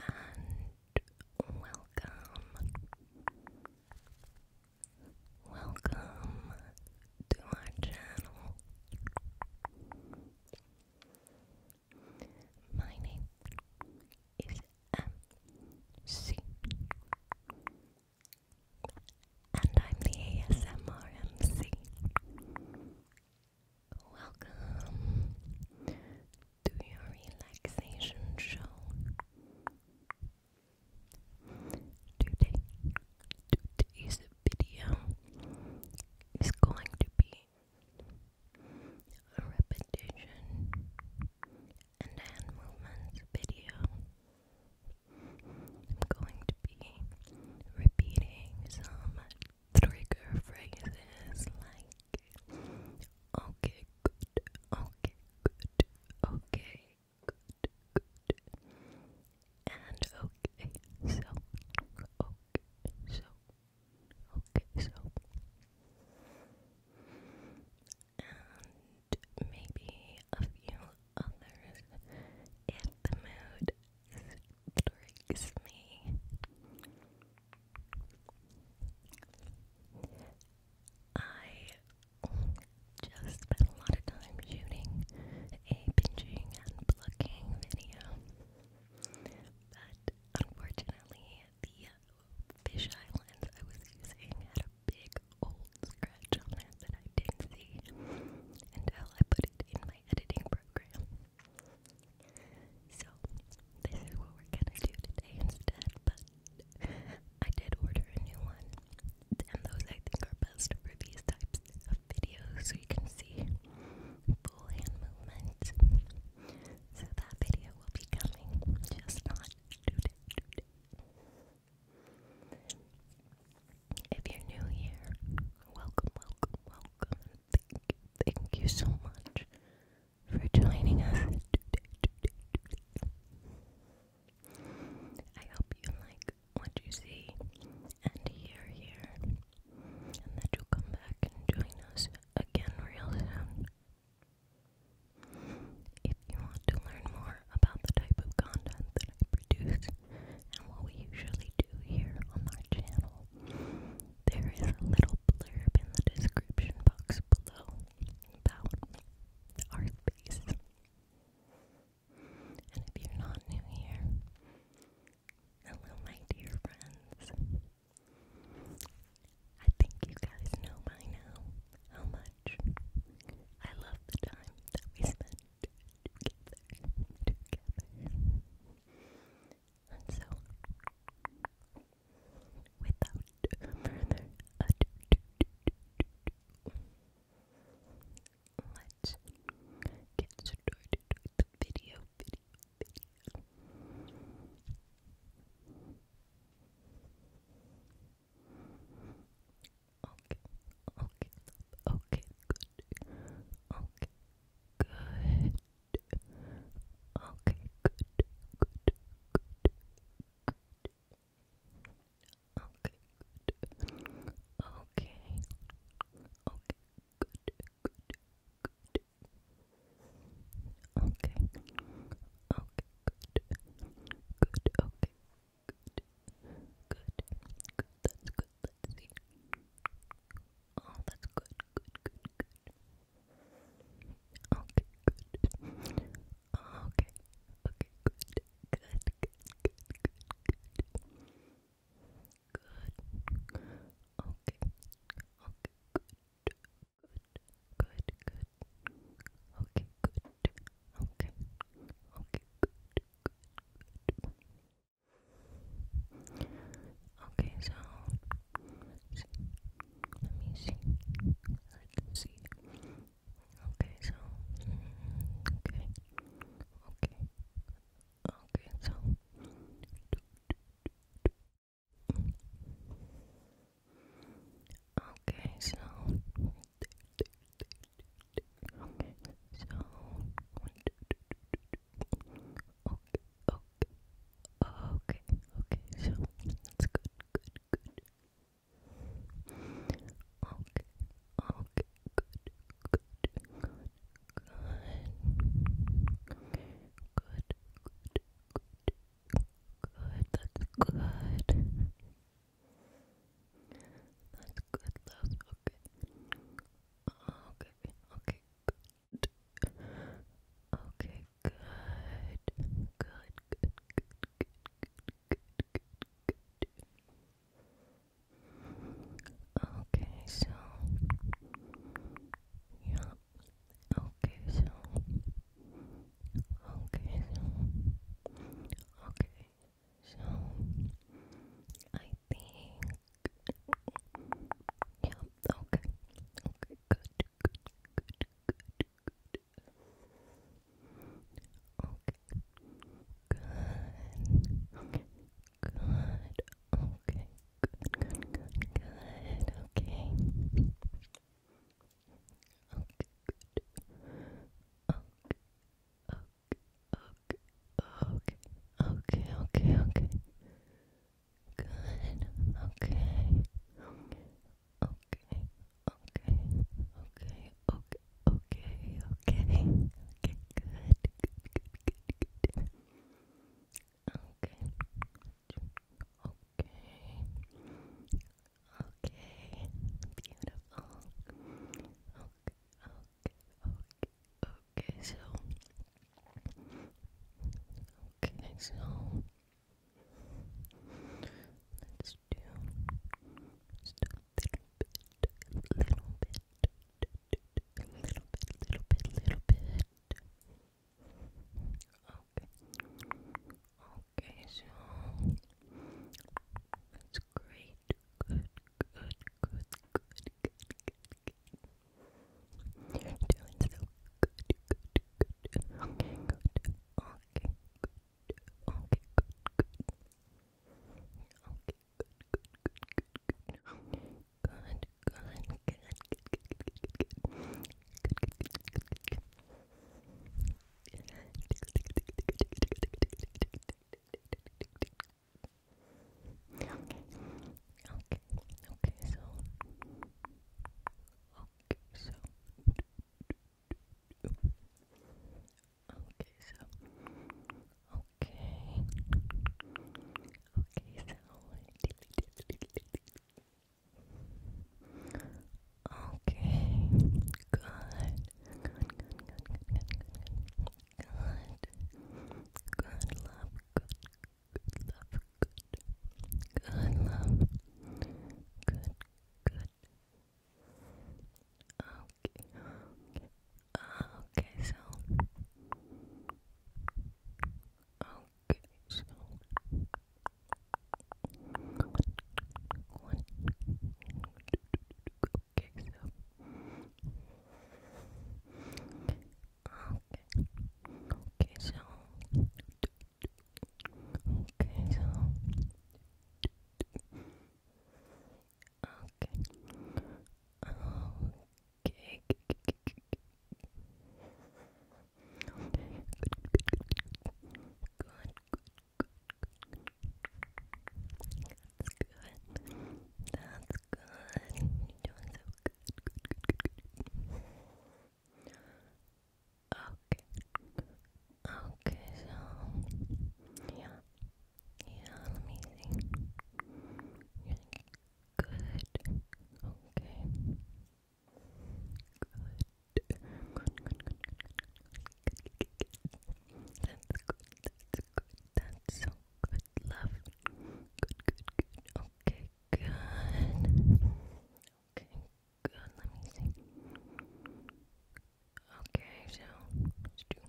and welcome, welcome to our channel. My name is MC, and I'm the ASMR MC. Welcome to your relaxation show. Today, today's video is going to be a repetition and hand movements video. I'm going to be repeating some trigger phrases like okay, good, okay, good, okay, good, good, and okay, so, okay, so, okay, so, and maybe a few others if the mood is tricks me. I just spent a lot of time shooting a pinching and plucking video, but unfortunately, the fisheye lens I was using had a big old scratch on it that I didn't see until I put it in my editing program. So, this is what we're gonna do today instead, but I did order a new one, and those I think are best for these types of videos so you can see full hand movement. So, that video will be coming, just not today. If you're new here, welcome, welcome, welcome, thank you, so much for joining us today, I hope you like what you see and hear here, and that you'll come back and join us again real soon. If you want to learn more about the type of content that I produce and what we usually do here on our channel, there is a little blurb in the description box below about our space. And if you're not new here, hello, my dear friends. I think you guys know by now how much I love the time that we spend together, together. And so, without further ado, let's get started the video. Okay, okay, okay, good. Okay, Good. Okay, good, good, good, good. Okay, good. Okay. Okay, good, good, good. Okay. Okay, good. Good, okay. Good. Good. Good. That's good. Let's see. Good. Oh, that's good, good, good, good. Okay, good. Okay, okay, good, good, good, good, good, good. Good. Okay, okay, good, good, good, good. Okay, good. Okay, okay, good, good, good. Okay, so let me see. Let's see. Okay, so okay, mm, okay, okay, so. Okay, so okay, so okay, okay, okay, okay, so that's good, good, good. Okay, okay, good, good, good, good, good, good, good, good, that's good. That's Okay. Okay, okay, Okay, Good, good, good, good, good, good, good, good. Okay, so yeah. Okay, so okay, so okay, so I think yeah, okay. Okay, good, good, good, good, good. Okay. Good. Okay. Good. Okay. Good, good, good, good. Okay. Okay, good. Okay. Okay. Okay. Okay, okay, okay, okay. Good. Okay. Okay. Okay. Okay. Okay. Okay. Okay. Good. Good. Good. Good. Okay. Okay. Okay. Beautiful. Okay okay, okay, so okay, so let's do just a little bit, little bit, little bit, little bit, little bit. Okay, okay, so that's great. good, good, good, good, good, you're doing so good, good, good. Okay, good. Okay, good. Okay, good, good. Okay, good, good, good, good. Good, good, good, good, good, good, good. Good, good, good, good, good, good. Okay. Okay. Okay. So. Okay. So. Okay. So. Okay. Okay. So. Okay. Good. Good. Good. Good. Good. Good. Good. Good love. Good. love. Good. love. Good. Good. Okay. Okay. Okay. So. Okay. So. One. Okay. So. Okay. Okay, so Okay, so Okay. Okay. Good, good, good, good. That's good. That's good. You're doing so good. Good, good, good, good. Okay. Okay, so yeah. Yeah, let good. Okay. Good, good, good, good, good, good, good, good. That's good. That's good. That's so Good love. Good, good, good. Okay, good. Okay, good. Let me see. Okay, so let's do. Good,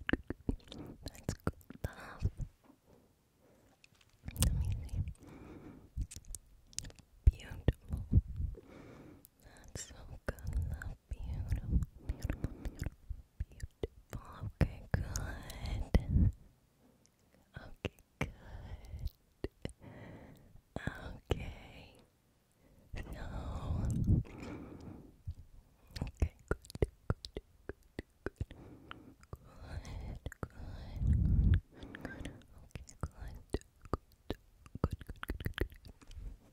good, good, That's good love. Let me see. Beautiful. That's so good. beautiful. Okay, good. Okay, good. Okay. So. Okay, good, good, good. Good, good, good, good, good, good, good, good, good, good, good,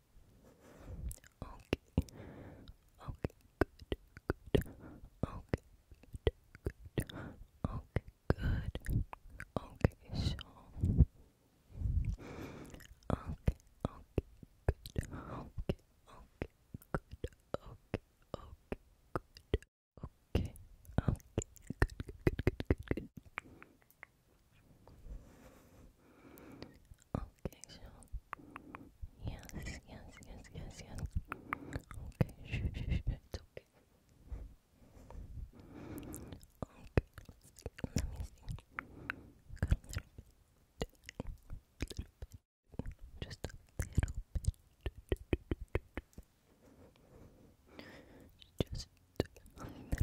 Okay. Okay, good. Good. Okay. Good. Good. Okay, good. Okay, so Okay, okay, good. Okay, okay, good. Okay, okay, good. Okay, okay, good, good, good, good, good, good. Okay, so yes, yes, yes, yes, yes. Okay, shh, shh, okay. Okay, let me see. Got a little bit, just a little bit, just a little bit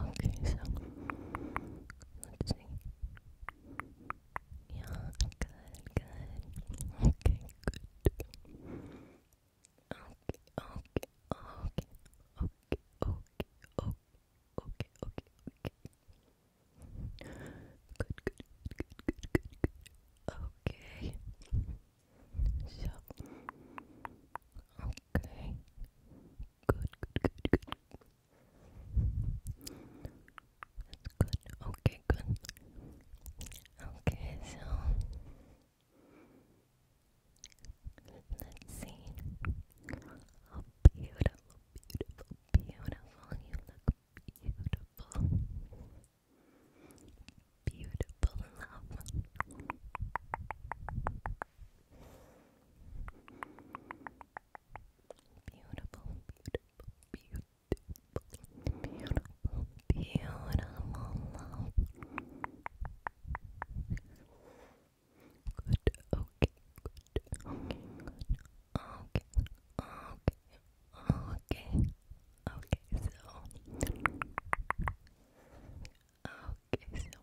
Okay, so let's see. Yeah, good, good. Okay, good. Okay, okay, okay, okay, okay, okay, okay, okay, Good, good, good, good, good, good. Okay. So, okay. Good, good, good, good. That's good. Okay, good. Okay, so let's see how beautiful, beautiful, beautiful you look. Beautiful, beautiful love. Beautiful, beautiful, beautiful, beautiful, beautiful love. Good, okay, good, okay, okay, okay, okay, okay, so, okay, so.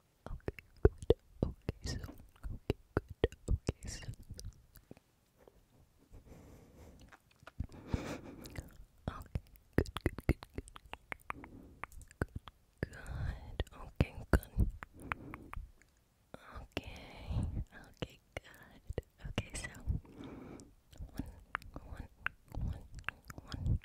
Okay, good. Okay, so. Okay, good. Okay, so. Okay, good, good, good, good. Good, good. Okay, good. Okay, okay, good. Okay, so. One, one, one, one,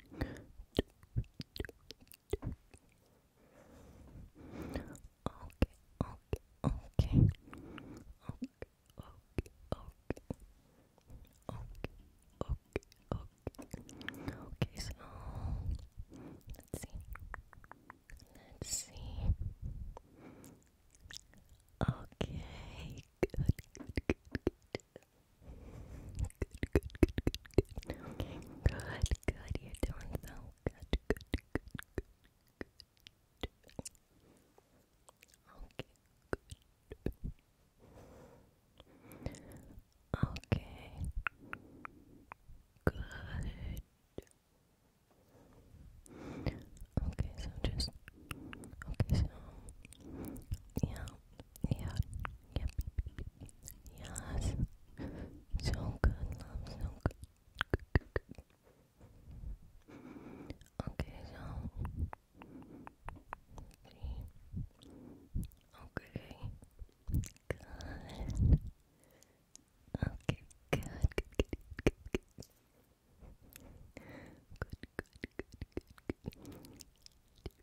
two, okay, okay, okay, okay, okay, okay, so let's see, let's see, okay, good, good, good, good. Good, good, good, good, good. Okay, good, good. You're doing so good, good, good, good, good. Okay, good. Okay. Good. Okay, so just okay, so yeah, yeah. Yep. Yes. So good, So good. Okay, so. See. Okay. Good. Okay, good, good, good. Good, good, good, good, good.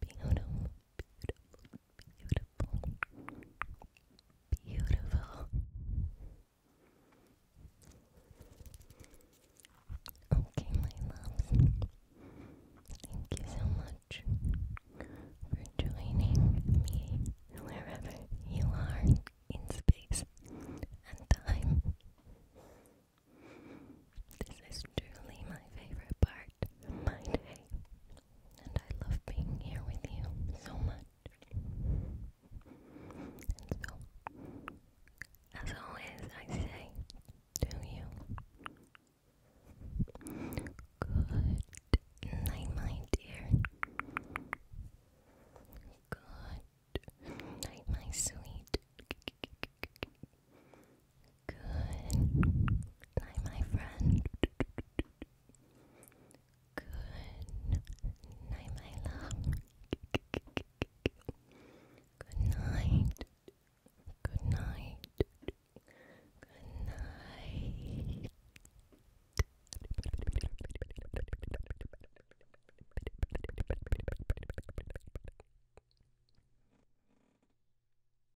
Beautiful, beautiful, beautiful, beautiful. Okay, my loves. Thank you so much for joining me wherever you are in space and time. This is truly my favorite part of my day and I love being here with you so much. And so, as always, I say to you, good night, my dear. Good night, my sweet. Good night, my friend. Good night, my love. Good night. Good night. Good night.